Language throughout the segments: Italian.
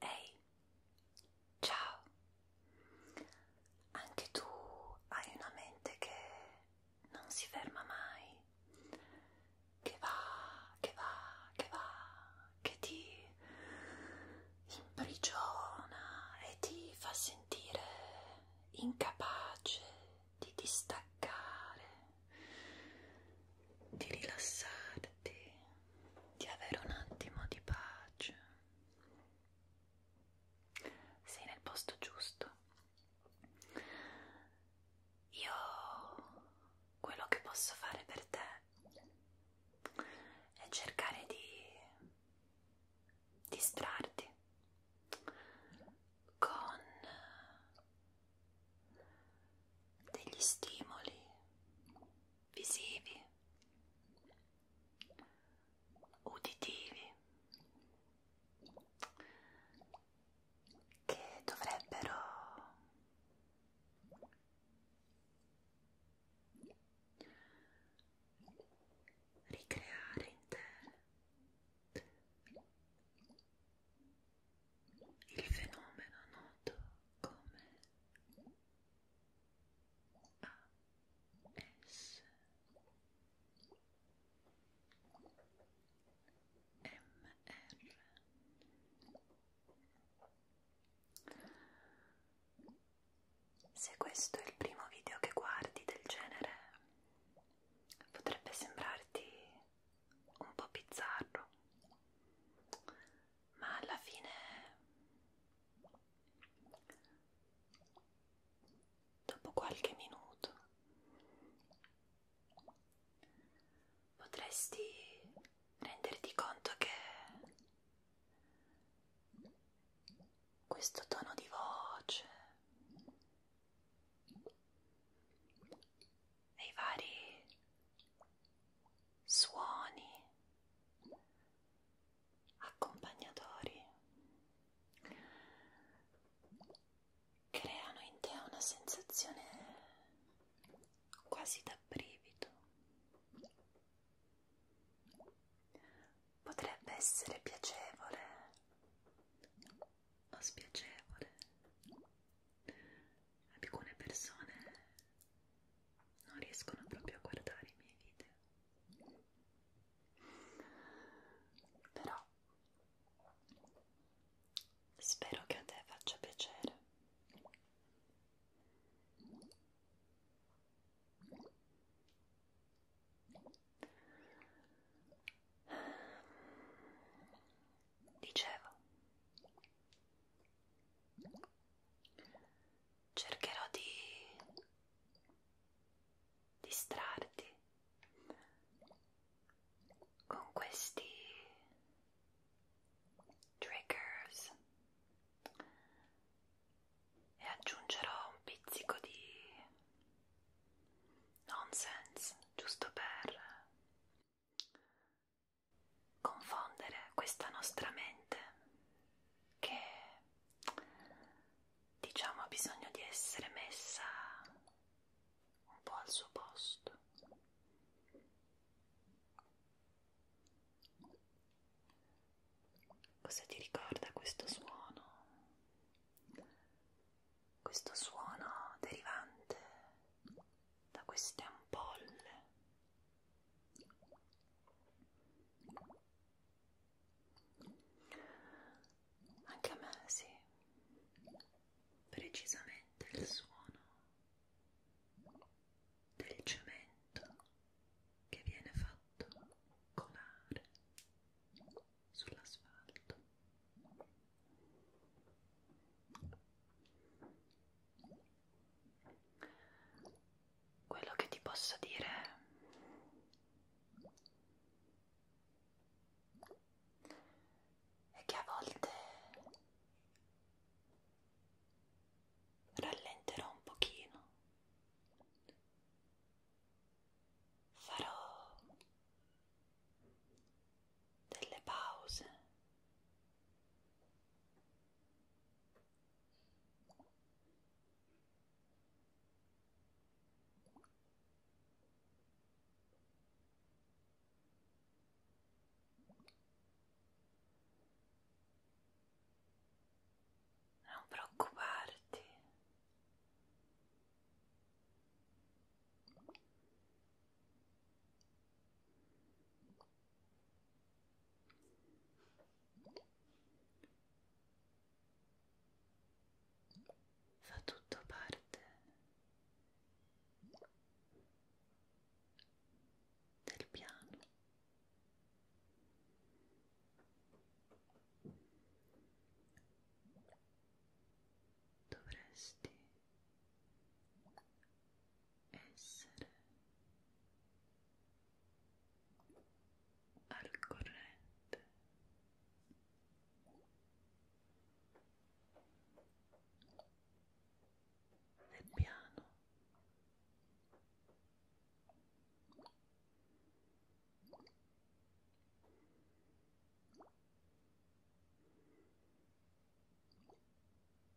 Ehi, ciao! Anche tu hai una mente che non si ferma mai, che va, che va, che va, che ti imprigiona e ti fa sentire incapace di distaccare di rilassarti, di avere un attimo di pace. Sei nel posto giusto. Io quello che posso fare per te è cercare di distrarti con degli stimoli visivi, uditivi che dovrebbero ricreare in te il fenomeno noto come S M R Se questo è il primo video che guardi del genere potrebbe sembrarti un po' bizzarro ma alla fine dopo qualche minuto potresti renderti conto che questo tono di voce e i vari suoni accompagnatori creano in te una sensazione quasi da brivido potrebbe essere piacevole o spiacevole alcune persone non riescono proprio a guardare i miei video però spero che a te faccia piacere Dicevo, cercherò di distrarti con questi triggers e aggiungerò un pizzico di nonsense giusto per confondere questa nostra mente che diciamo ha bisogno di essere messa un po' al suo posto. Cosa ti ricorda questo suono? Questo suono derivante da queste ampolle anche a me sì, precisamente il suono del cemento che viene fatto colare sull'asfalto quello che ti posso dire è che a volte rallenterò un pochino farò delle pause non preoccuparti. Fa tutto parte del piano. Dovresti essere al corrente del piano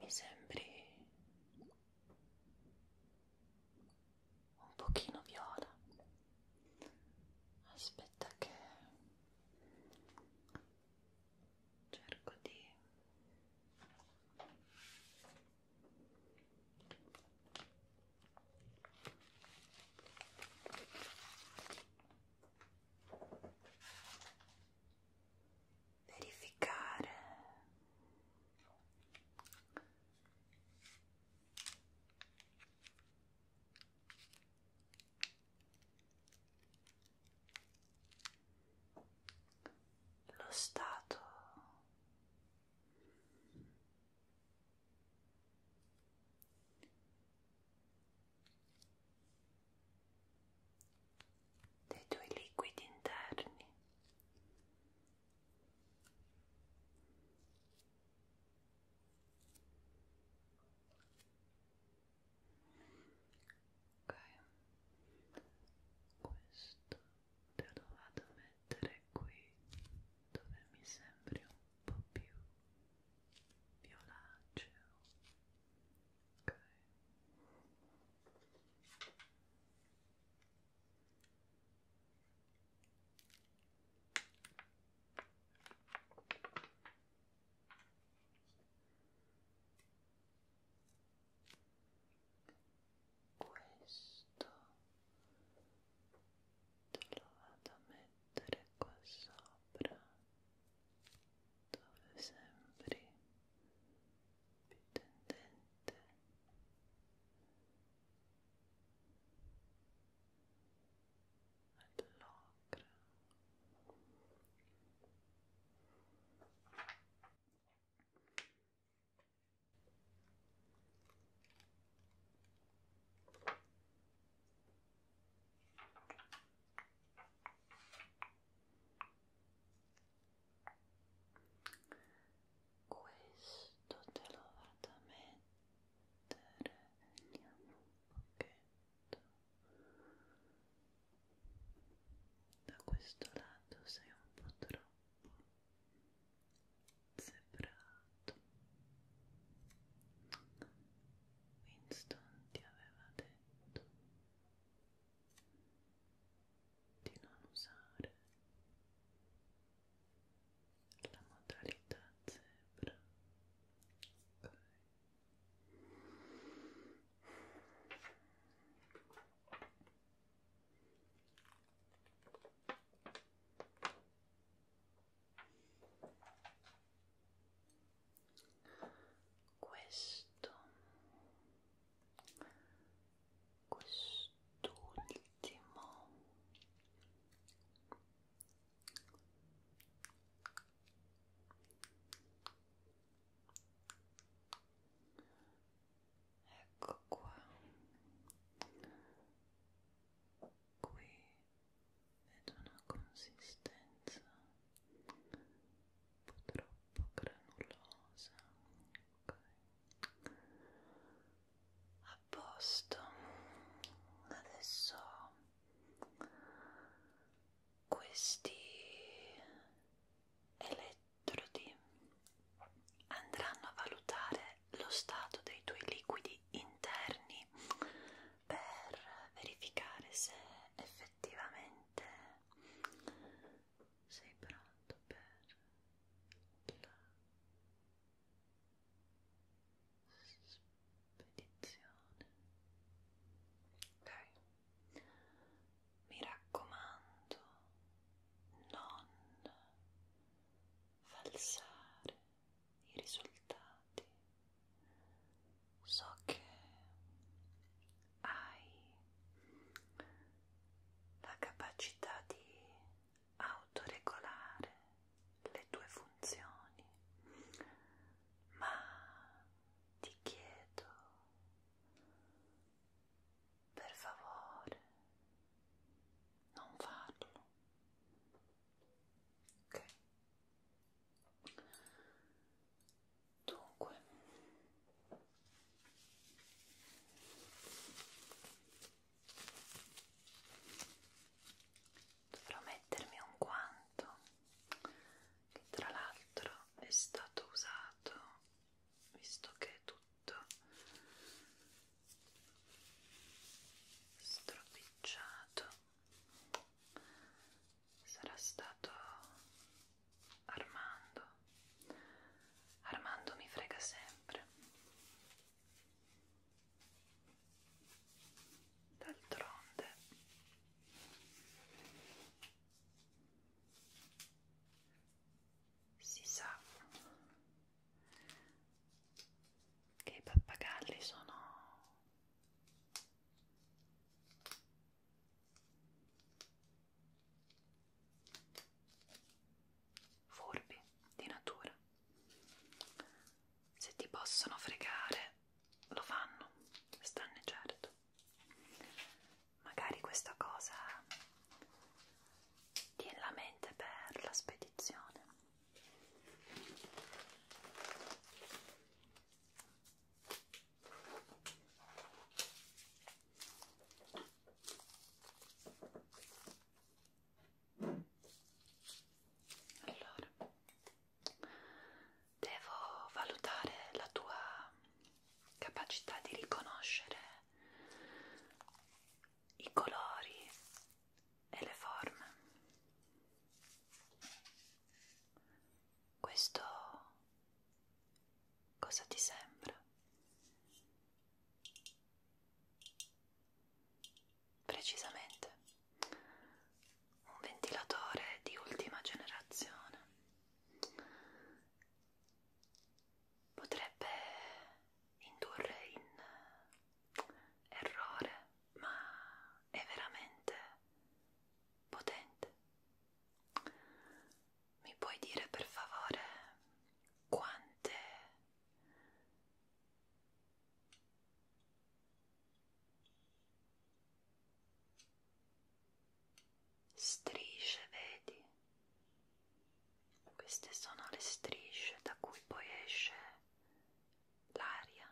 Mi sembri un pochino viola. Aspetta che cerco di verificare lo stato dei tuoi liquidi interni ok questo te lo vado a mettere qui dove mi sembri un po' più violaceo ok questo te lo vado a mettere qua sopra dove sembri più tendente all'ocra questo te lo vado a mettere vediamo un pochetto da questo lato sei un po' troppo sembra fatto Winston ti aveva detto di non usare la modalità zebra okay questo quest'ultimo ecco qua qui ed una consistenza un po' troppo granulosa ok a posto adesso questi elettrodi andranno a valutare lo stato dei tuoi liquidi interni per verificare se effettivamente sei pronto per la spedizione ok mi raccomando non falsare i risultati. So che hai la capacità di autoregolare le tue funzioni, ma ti chiedo per favore non farlo. Ok. Dunque, dovrò mettermi un guanto che tra l'altro è stato usato visto che è tutto stropicciato sarà stato Armando. Armando mi frega sempre. D'altronde si sa che i pappagalli sono furbi di natura se ti possono fregare lo fanno stanne certo magari questa cosa ti è in la mente per la spedizione allora, devo valutare la tua capacità di riconoscere i colori e le forme. Questo cosa ti sembra? Precisamente un ventilatore di ultima generazione. Potrebbe indurre in errore ma è veramente potente. Mi puoi dire per favore quante strisce vedi? Queste sono le strisce da cui poi esce l'aria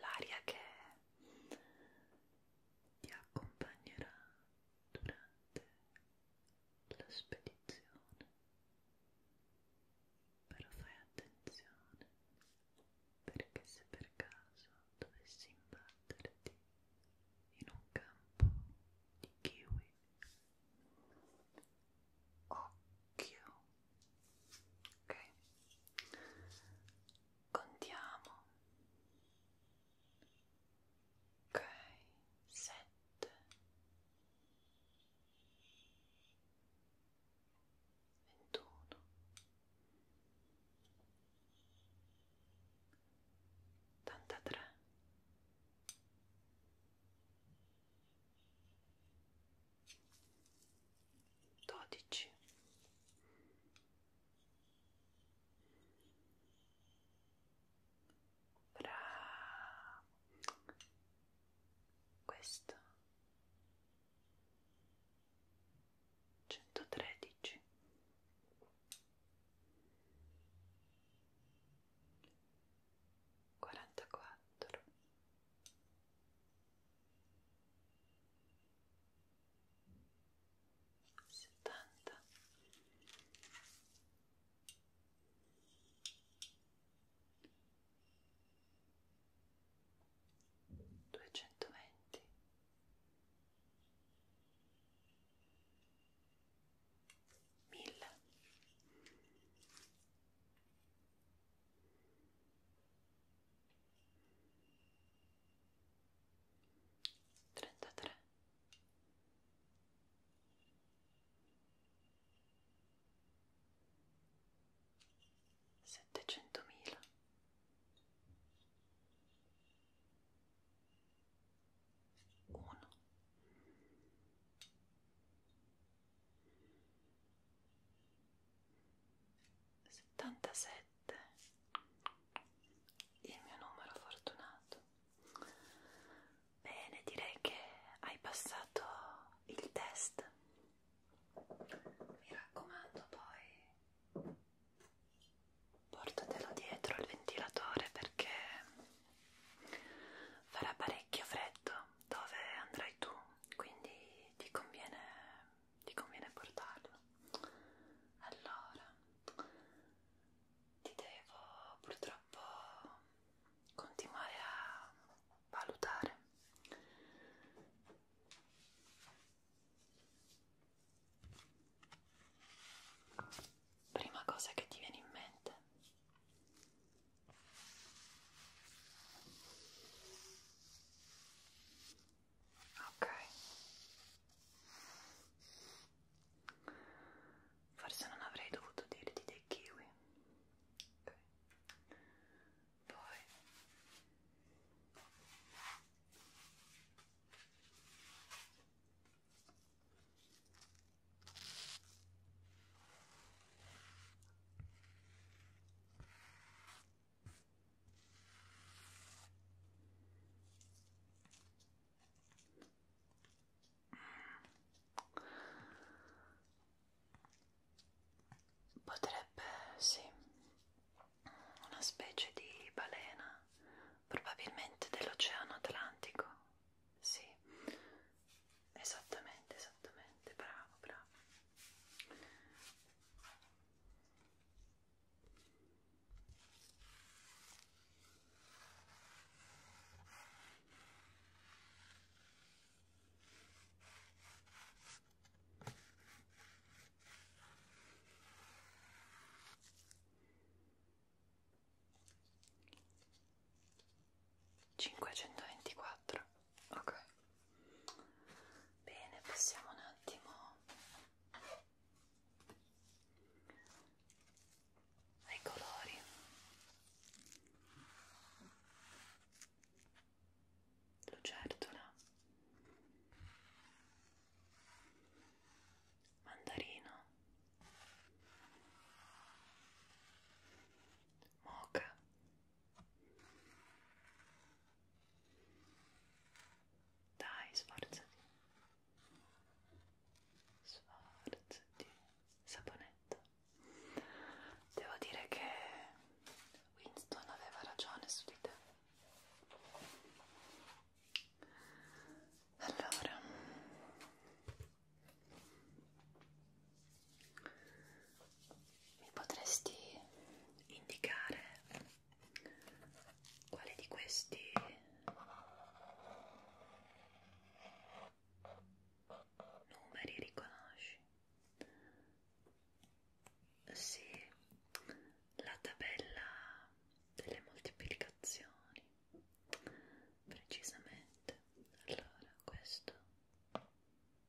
l'aria che ti accompagnerà durante la spedizione però fai attenzione perché se per caso dovessi imbatterti in un campo di kiwi occhio ok contiamo ok sette ventuno ottantatré dodici bravo questo centotredici quarantaquattro settanta duecentoventi mille 33 settecentomila uno 77 il mio numero fortunato bene direi che hai passato il test mi raccomando poi portatelo dietro il ventilatore perché farà parecchio freddo dove andrai tu quindi ti conviene, ti conviene portarlo. Allora, ti devo purtroppo continuare a valutare. Prima cosa che ti viene in mente Okay. Forse non avrei dovuto dirti dei kiwi. Okay. Poi Potrebbe, sì, una specie di balena, probabilmente dell'Oceano Atlantico, sì, esattamente esattamente bravo bravo 524 ok bene passiamo un attimo ai colori lucertola mandarino moca dai, sforzati. Sforzati. Saponetta. Devo dire che Winston aveva ragione su di te. Allora mi potresti indicare quale di questi numeri riconosci? Sì, la tabella delle moltiplicazioni, precisamente. Allora, questo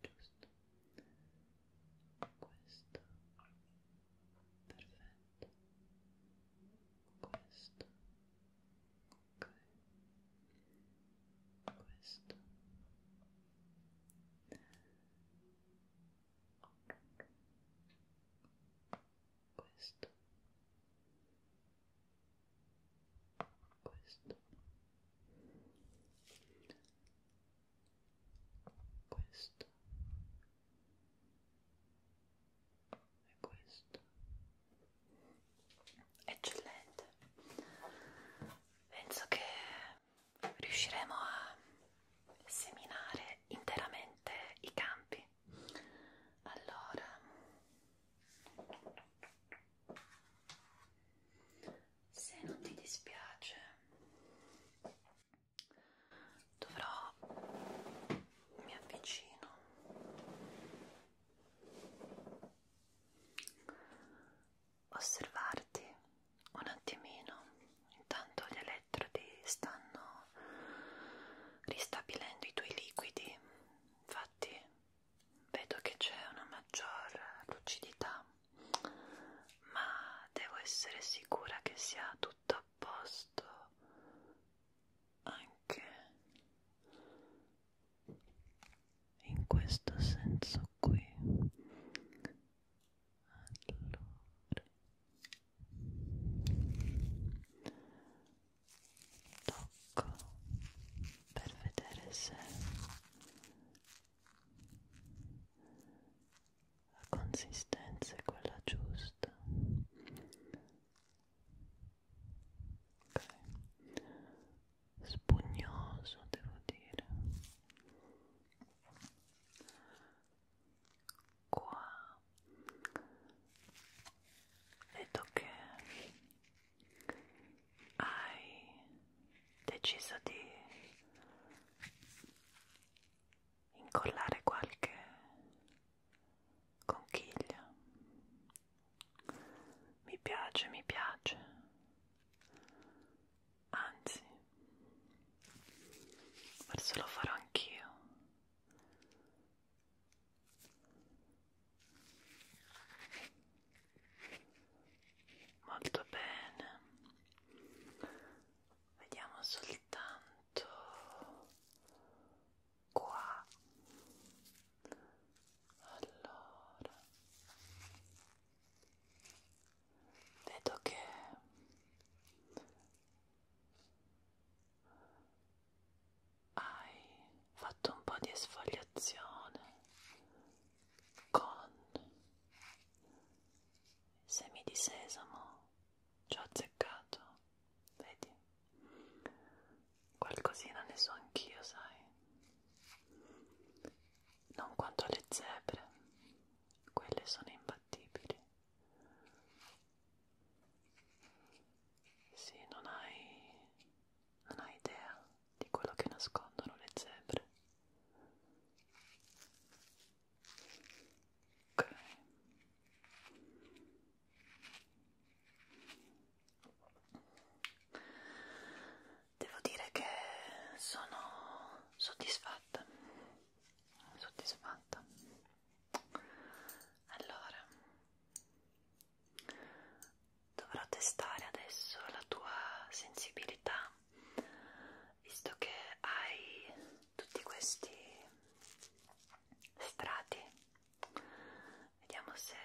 giusto questo perfetto questo ok questo questo questo questo e questo eccellente penso che riusciremo a seminare interamente i campi allora se non ti dispiace dovrò mi avvicino osservarti un attimino intanto gli elettrodi stanno ristabilendo i tuoi liquidi infatti vedo che c'è una maggior lucidità ma devo essere sicura che sia tutto a posto anche in questo senso qui allora tocco per vedere se la consistenza è quella giusta ok spugnoso devo dire qua vedo che hai deciso di incollare qualche conchiglia. Mi piace, mi piace. Anzi, forse lo farò anch'io molto bene vediamo soltanto qua allora vedo che hai fatto un po' di esfoliazione con semi di sesamo, ci ho azzeccato, vedi? Qualcosina ne so anch'io, sai? Non quanto le zebre, quelle sono imbattibili. Sì, non hai, non hai idea di quello che nascondono le zebre. Okay. Devo dire che sono soddisfatta, soddisfatta. Allora, dovrò testare adesso la tua sensibilità visto che hai tutti questi strati vediamo se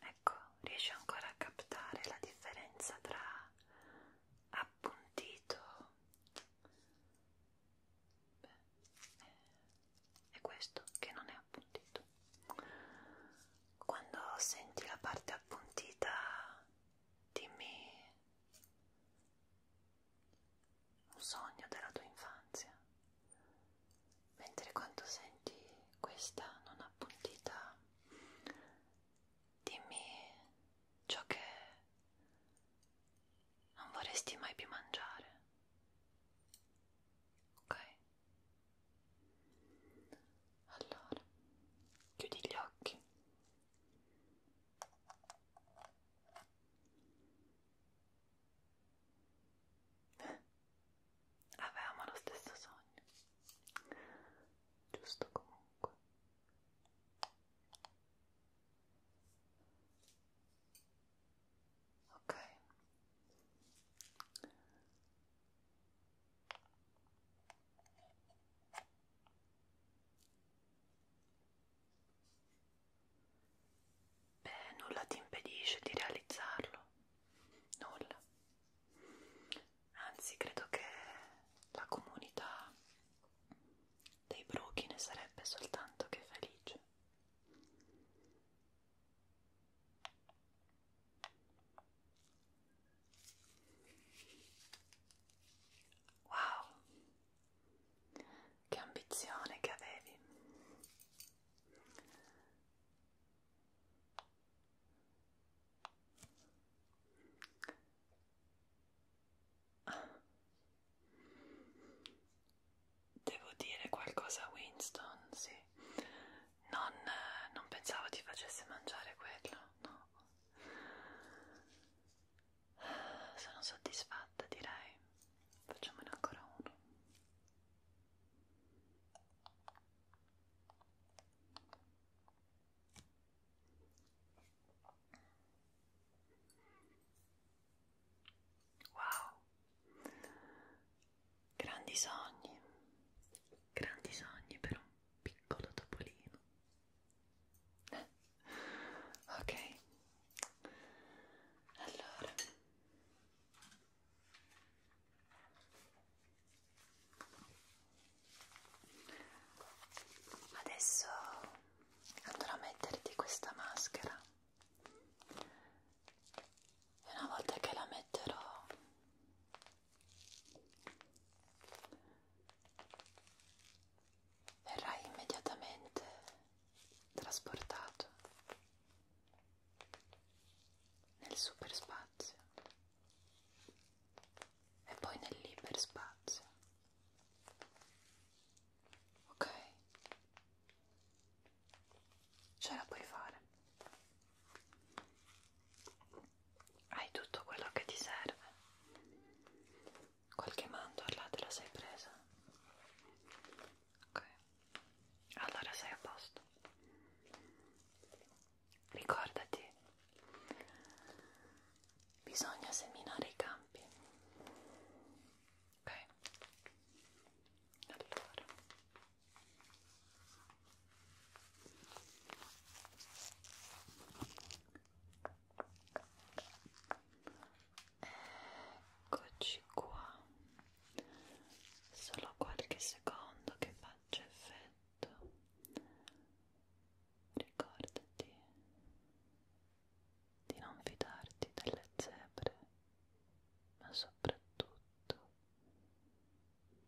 ecco riesci ancora a captare la differenza tra appuntito Beh, è questo che non è appuntito quando senti la parte appuntita dimmi un sogno della tua infanzia, mentre quando senti questa non appuntita, dimmi ciò che non vorresti mai più mangiare. Ok? Allora, chiudi gli occhi Avevamo lo stesso sogno, giusto comunque. Ok. Beh, nulla ti impedisce di realizzarlo, nulla. Anzi, credo che la comunità dei bruchi ne sarebbe soltanto che felice. Wow, che ambizione che avevi. Devo dire qualcosa a Winston, sì. Non, non pensavo ti facesse mangiare quello, no? Sono soddisfatta, direi. Facciamone ancora uno. Wow, grandi sogni, grandi sogni per un piccolo topolino ok allora adesso andrò a metterti questa maschera e una volta che la metterò verrai immediatamente trasportato nel superspazio e poi nel liberspazio. Ok? Ce la puoi fare hai tutto quello che ti serve. Qualche mandorla te la sei presa? Ok, allora sei a posto. Ricordati, bisogna seminare i campi. Ok, allora. Eccoci qua. Solo qualche secondo che faccia effetto. Ricordati di non fidarti delle zebre, ma soprattutto,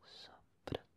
soprattutto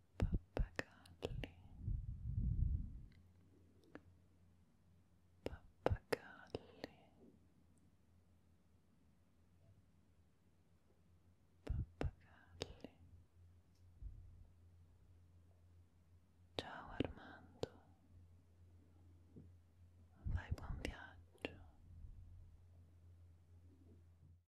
pappagalli pappagalli pappagalli ciao Armando vai buon viaggio